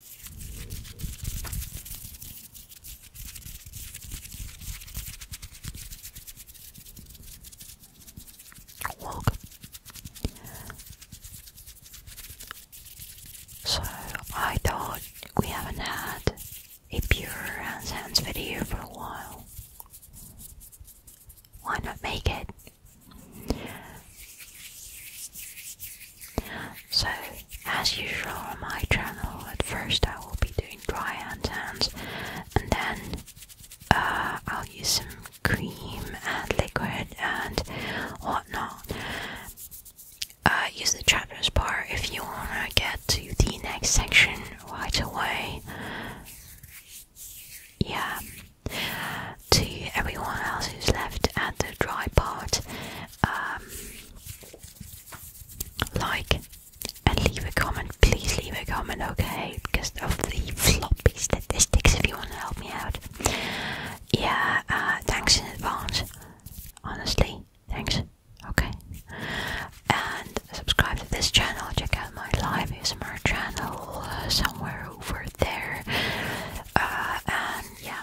So I thought we haven't had a pure hands hands video for a while. Why not make it? So, as usual on my channel, at first I will be doing dry hands and then uh, I'll use some cream and liquid and whatnot. Uh, use the chapters bar if you wanna get to the next section right away. Yeah to everyone else who's left at the dry part, um, like and leave a comment. Please leave a comment, okay? Because of the floppy statistics, if you want to help me out. Yeah, uh, thanks in advance. Honestly, thanks. Okay. And subscribe to this channel. Check out my live ASMR channel uh, somewhere over there. Uh, and yeah,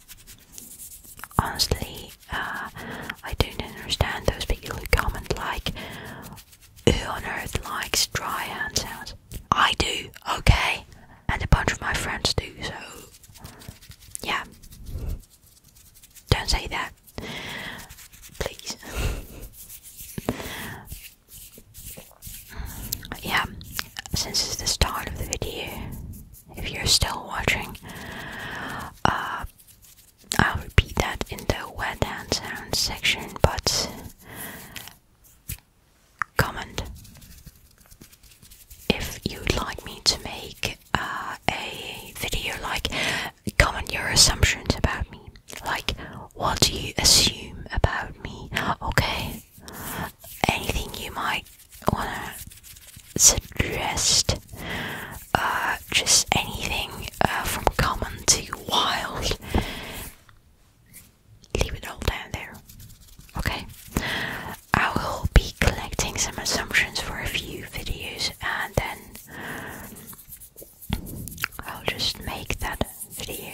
Honestly, uh, I don't understand those people who comment like, who on earth likes dry hand sounds? I do, okay? And a bunch of my friends do, so yeah. Don't say that. Please. yeah, since it's the start of the video, if you're still watching. Uh, I'll repeat that in the wet and sound section, but comment if you'd like me to make uh, a video, like comment your assumptions about me. Like, what do you assume about me? Okay, anything you might wanna suggest uh, just anything uh, from common to wild, leave it all down there. Okay, I will be collecting some assumptions for a few videos and then I'll just make that video.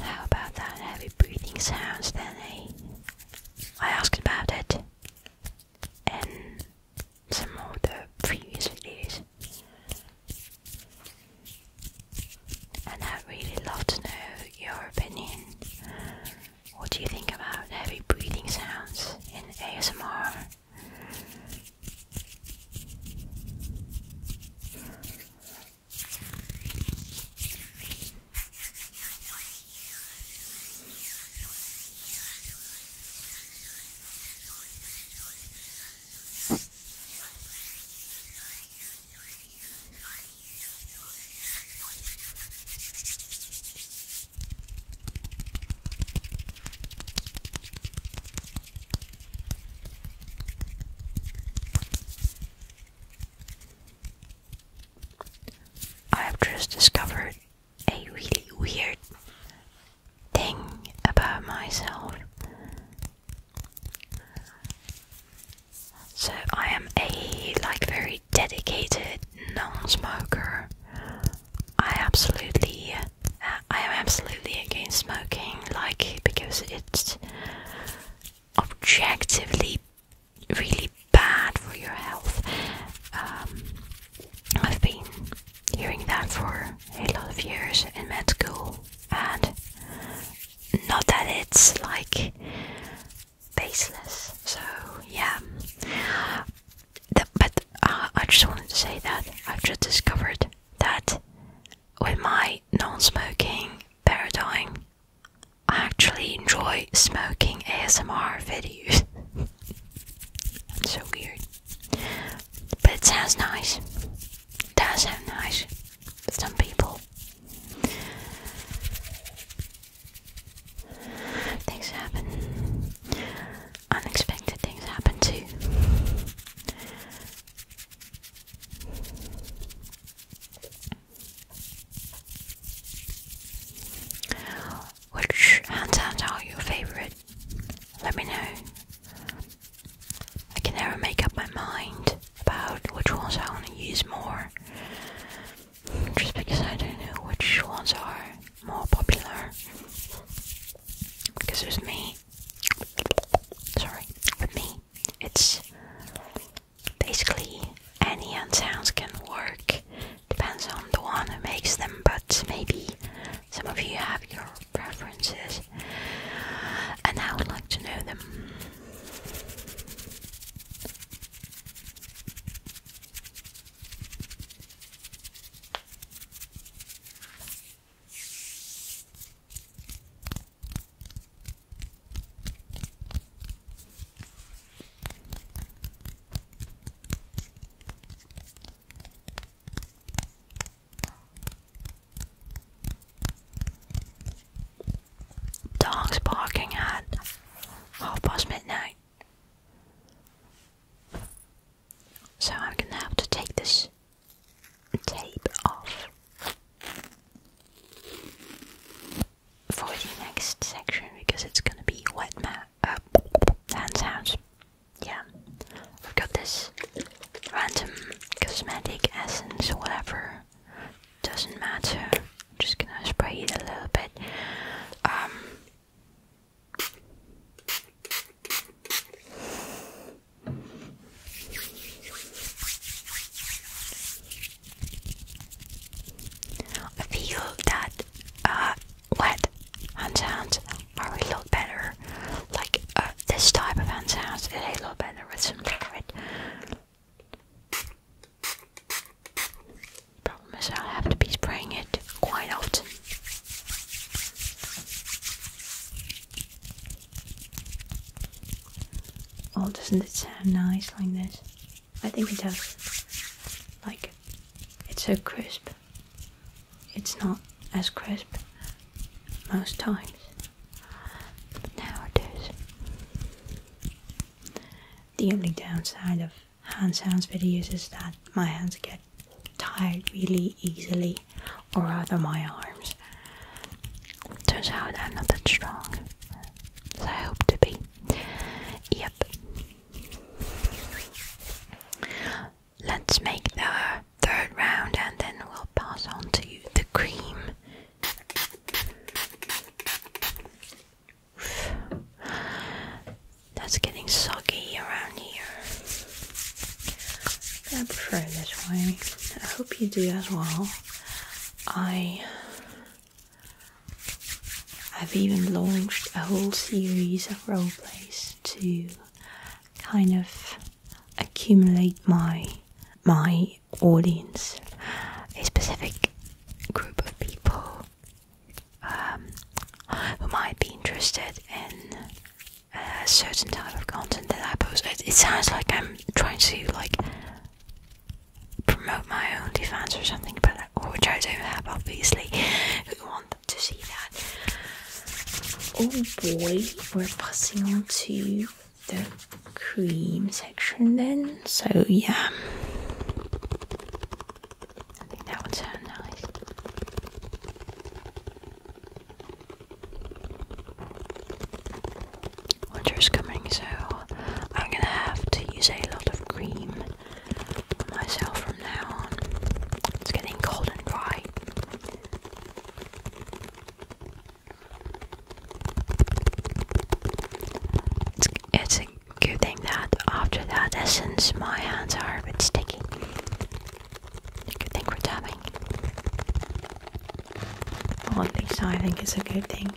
How about that heavy breathing sounds then, eh? I asked about it in some of the previous videos, and I really love to know your opinion what do you think about heavy breathing sounds in ASMR? I have just discovered a really weird thing about myself. So I am a like very dedicated non-smoker. I absolutely, uh, I am absolutely against smoking, like because it's objectively really bad for your health. Um, I've been hearing that for a lot of years in med school, and not that it's like baseless. So yeah, but uh, I just wanted to say that I've just discovered that with my non-smoking paradigm, I actually enjoy smoking ASMR videos. so weird, but it sounds nice. That's how nice some people. Things happen. Unexpected things happen too. Which hands are your favorite? Let me know. I can never make up my mind about which ones I want to use more. Just because I don't know which ones are more popular. Because with me, sorry, with me, it's basically any hand sounds can work. Depends on the one who makes them, but maybe some of you have your preferences and I would like to know them. Dogs barking at half past midnight. So I'm gonna have to take this tape off for the next section because it's gonna be wet ma uh, sounds. Yeah. I've got this random cosmetic essence, whatever. Doesn't matter. Just gonna spray it a little bit. Um, I feel that uh, wet hands are a lot better like uh, this type of it'll be a lot better with some liquid. Problem is, I'll have to be spraying it quite often. Oh, doesn't it sound nice like this? I think it does. Like, it's so crisp. It's not as crisp most times nowadays. The only downside of hand sounds videos is that my hands get tired really easily, or rather my arms. Turns out I'm not that strong as I hope to be. Yep let's make the third round and then we'll pass on to the cream. That's getting soggy around here. I prefer this way. I hope you do as well. I have even launched a whole series of role plays to kind of accumulate my my audience, a specific group of people um, who might be interested in a certain type of content that I post. It, sounds like I'm trying to like promote my own defense or something, but uh, which I don't have obviously. Who want to see that. Oh boy, we're passing on to the cream section then. So yeah, I think that would sound nice. Winter's coming, so I'm gonna have to use a lot of cream myself now It's getting cold and dry. It's, a good thing that after that essence my hands are a bit sticky. Good thing we're tapping. Well, at least I think it's a good thing.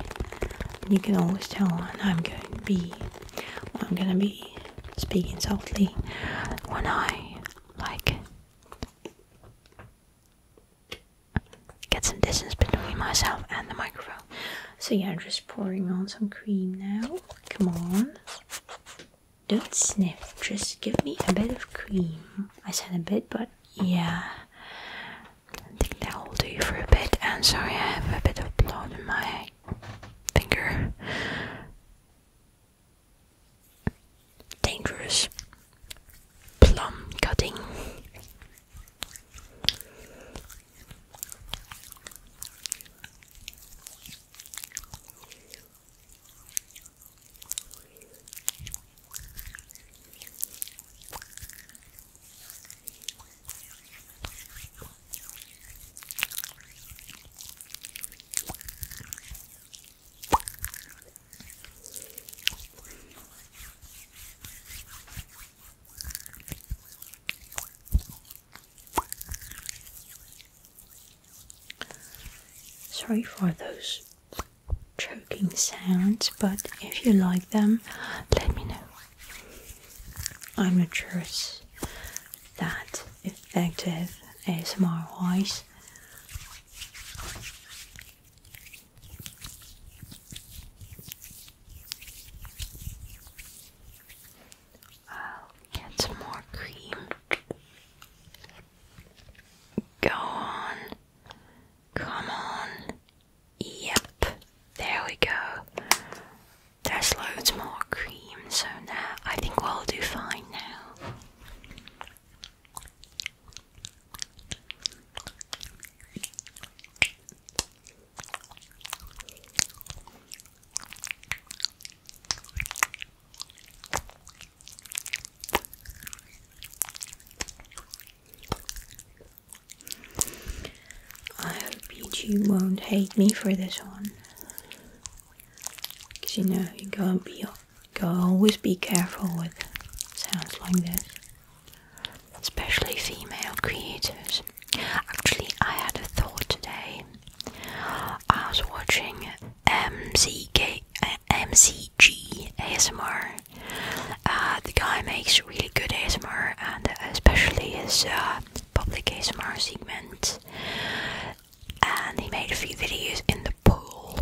You can always tell when I'm going to be, well, I'm gonna be speaking softly, when I like get some distance between myself and the microphone. So yeah, I'm just pouring on some cream now. Come on. Don't sniff, just give me a bit of cream. I said a bit, but yeah. I think that will do for a bit. And sorry, I have a bit of blood in my finger dangerous plum cutting. Sorry for those choking sounds, but if you like them, let me know. I'm not sure that effective ASMR voice. I'll get some more cream. Go on. Come on. Yep. There we go. There's loads more cream, so now I think we'll do fine now. I hope Pichu won't hate me for this one. Cause you know you gotta be gotta always be careful with sounds like this. Especially female creators. Actually I had a thought today. I was watching MCK MCG ASMR. Uh, the guy makes really good ASMR and especially his uh, public ASMR segment and he made a few videos in the pool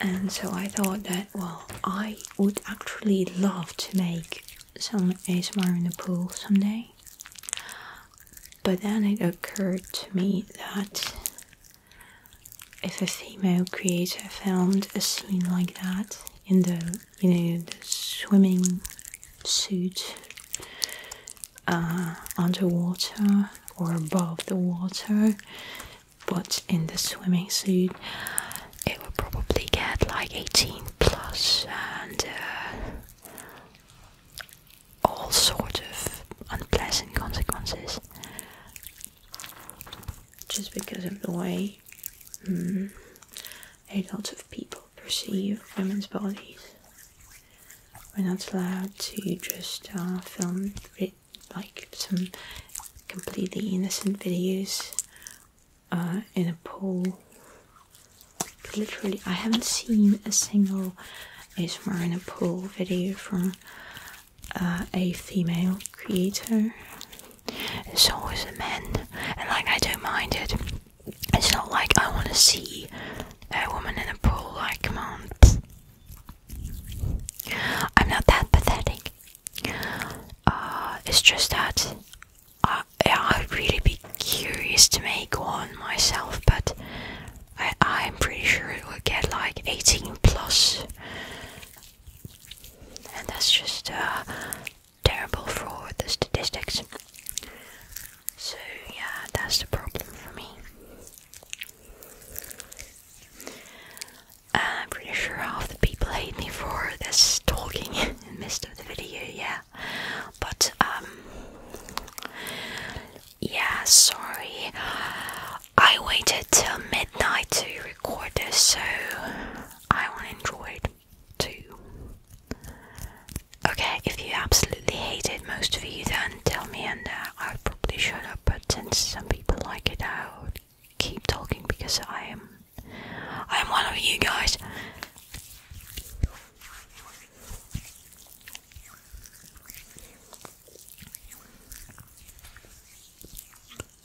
and so I thought that well I would actually love to make some ASMR in the pool someday but then it occurred to me that if a female creator filmed a scene like that in the you know, the swimming suit uh, underwater or above the water, but in the swimming suit, it would probably get like 18 plus and uh, all sorts of unpleasant consequences just because of the way Mm. A lot of people perceive women's bodies. We're not allowed to just uh, film like some completely innocent videos uh, in a pool. Literally, I haven't seen a single ASMR in a pool video from uh, a female creator. It's always is the men, and like I don't mind it. It's not like I want to see a woman in a pool. Like, come on, I'm not that pathetic. Uh, it's just that I, yeah, I'd really be curious to make one myself, but I, am pretty sure it would get like 18 plus. And that's just uh, terrible for the statistics. So, yeah, that's the problem for me. Uh, I'm pretty sure half the people hate me for this talking in the midst of the video, yeah. But, um, yeah, sorry. I waited till midnight to record this, so I on Android too. Okay, if you absolutely hate it, most of you, then tell me, and uh, I'll probably shut up. But since some people like it, I'll keep talking because I am, I am one of you guys.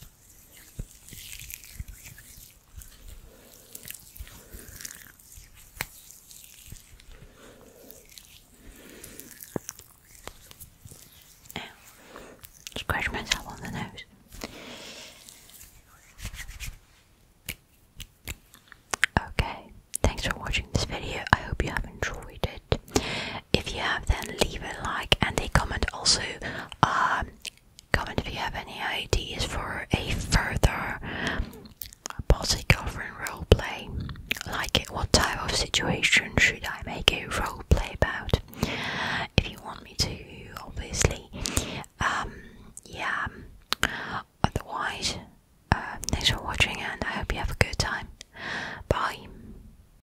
Ew. myself on the nose. Okay, thanks for watching this video. I hope you have enjoyed it. If you have, then leave a like and a comment. Also, um, comment if you have any ideas for a further bossy girlfriend play. Like, what type of situation should I make a role play about? If you want me to, obviously. Um, yeah. Otherwise, uh, thanks for watching, and I hope you have a good time. Bye.